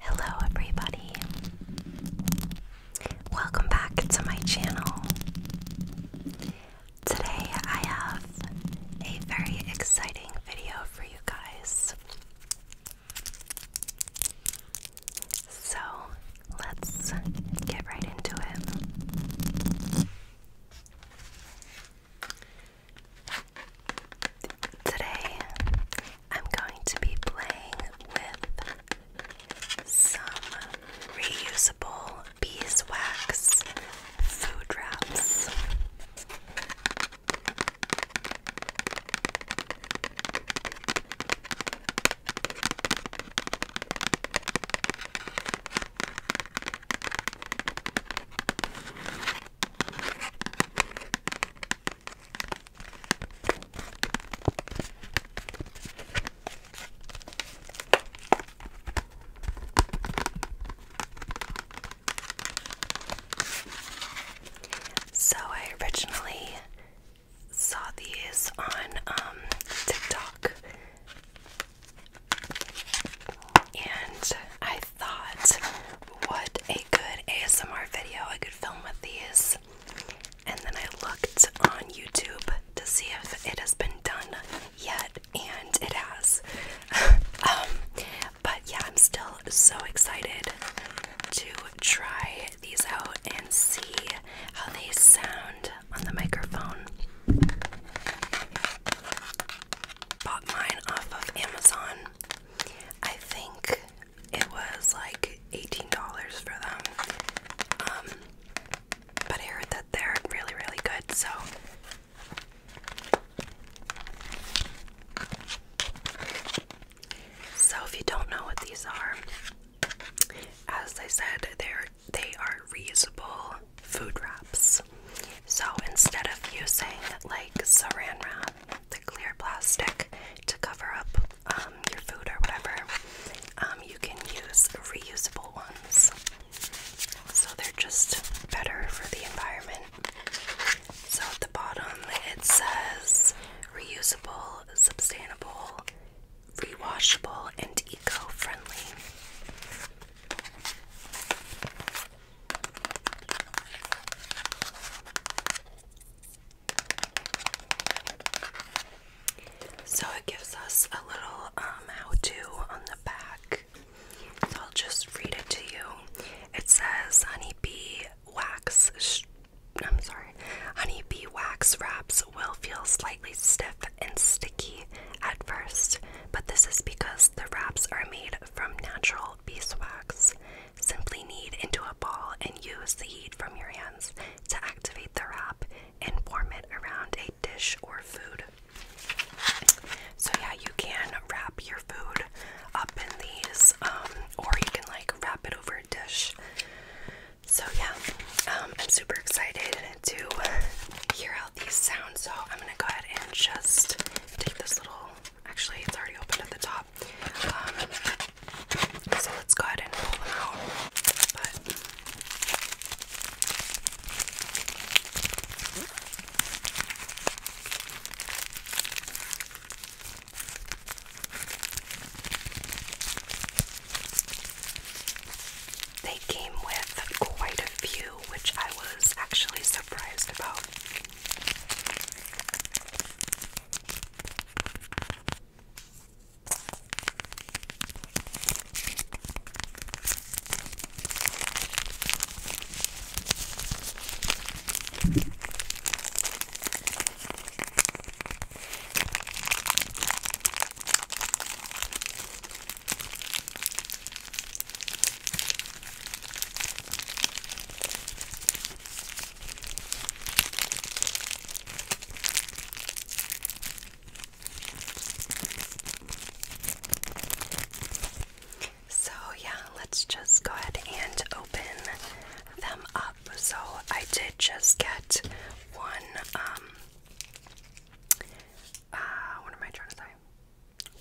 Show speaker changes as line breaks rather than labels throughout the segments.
Hello, everybody. Welcome back to my channel. Today, I have a very exciting video for you guys. So, let's get right into it. Today, I'm going to be playing with some reusable beeswax food wraps. So, I originally saw these on um, TikTok, and I thought, what a good ASMR video I could film with these. And then I looked on YouTube to see if it has been done yet, and it has. Um, but yeah, I'm still so excited to try these out and see how they sound on the microphone. Bought mine off of Amazon. I think it was like $18 for them. Um, but I heard that they're really, really good, so. So, if you don't know what these are, as I said, they're they are reusable food wraps. So instead of using like saran wrap, the clear plastic to cover up um, your food or whatever, um, you can use reusable ones. So they're just better for the environment. So at the bottom it says reusable, sustainable, rewashable and eco-friendly. So it gives us a little um, how-to on the back. So I'll just read it to you. It says honeybee wax I'm sorry, honeybee wax wraps will feel slightly stiff and sticky at first, but this is because the wraps are made from natural beeswax. Simply knead into a ball and use the heat from your hands to activate the wrap and warm it around a dish or food. So, yeah, you can wrap your food up in these, um, or you can like wrap it over a dish. So yeah, um, I'm super excited to hear how these sound. So I'm gonna go ahead and just take this little. Actually, it's already opened at the top. Um, so let's go ahead and pull them out. They came with quite a few, which I was actually surprised about. So, yeah, let's just go ahead and open them up. So I did just get one, um, uh, what am I trying to say?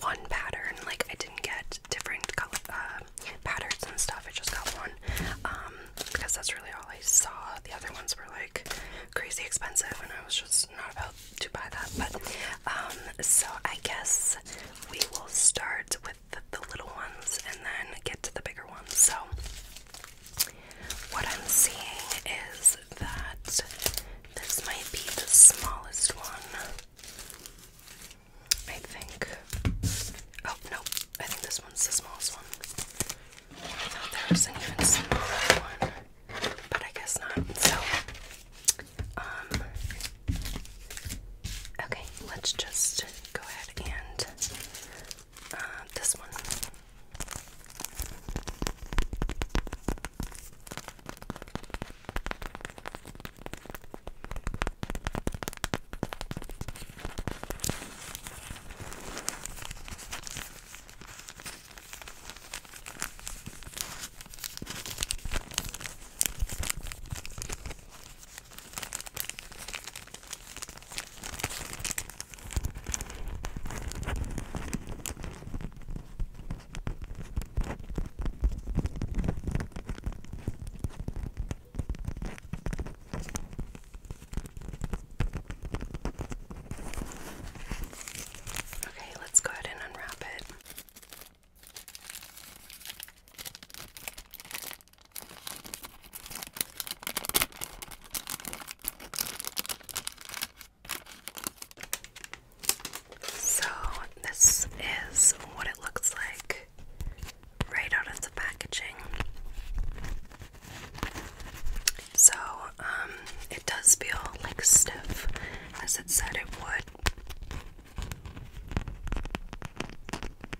One pattern, like I didn't get different color, uh, patterns and stuff, I just got one, um, because that's really all I saw. The other ones were like crazy expensive, and I was just not about to buy that, but, um, so I guess we will start with the little ones and then get to the bigger ones. So, what I'm seeing is that this might be the smallest one. I think. Oh, no. I think this one's the smallest one. I thought there was an even smaller one, but I guess not. So, um, okay, let's just go ahead and uh, this one. Okay, let's go ahead and unwrap it. So, this is what it looks like right out of the packaging. So, um, it does feel like stiff as it said it would.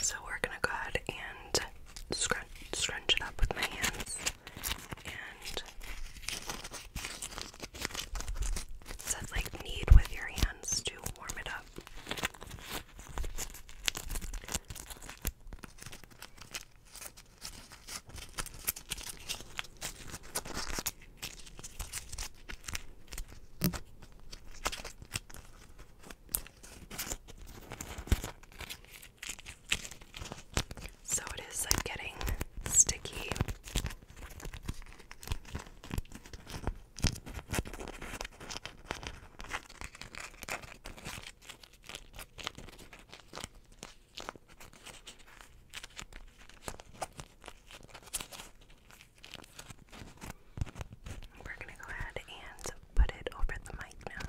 So we're gonna go ahead and scrunch, it up with my hands and it like knead with your hands to warm it up. So it is like getting sticky. We're going to go ahead and put it over the mic now.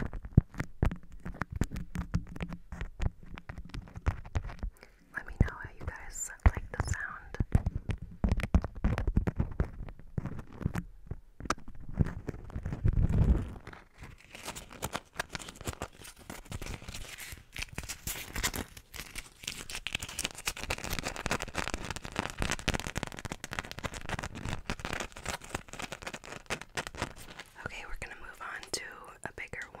Let me know how you guys like the sound. Okay, we're going to move on to a bigger one.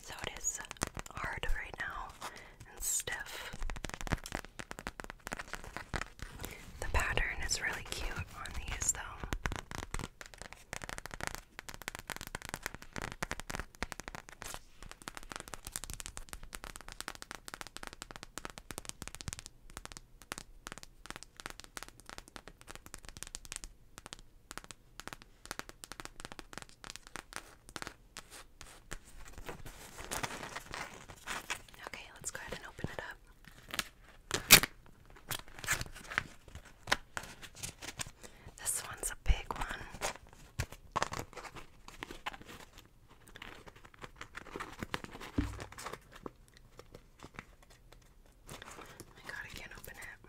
so it is hard right now and stiff. The pattern is really cute on these, though. Okay, let's go ahead and open it up. This one's a big one. my god, I can't open it.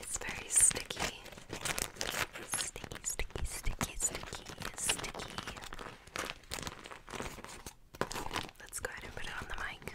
It's very sticky. Sticky, sticky, sticky, sticky, sticky. Let's go ahead and put it on the mic.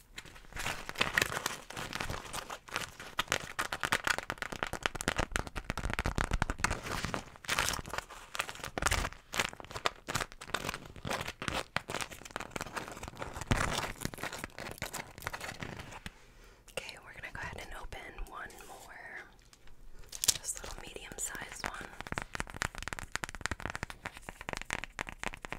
Okay, we're going to go ahead and open one more. This little medium sized one.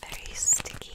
very sticky.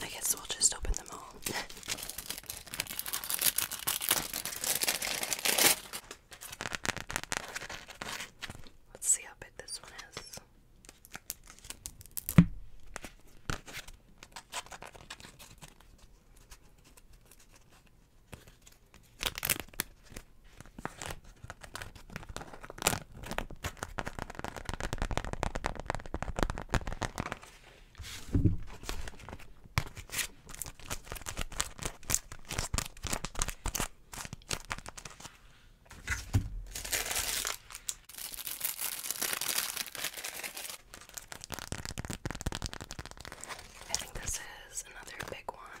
I guess we'll just open them all. Let's see how big this one is. I think this is another big one.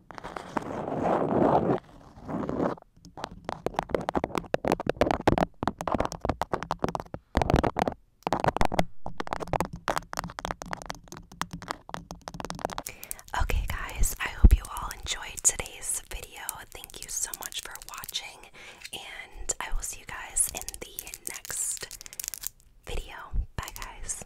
Okay, guys, I hope you all enjoyed today's video. Thank you so much for watching, and I will see you guys in the next video. Bye, guys.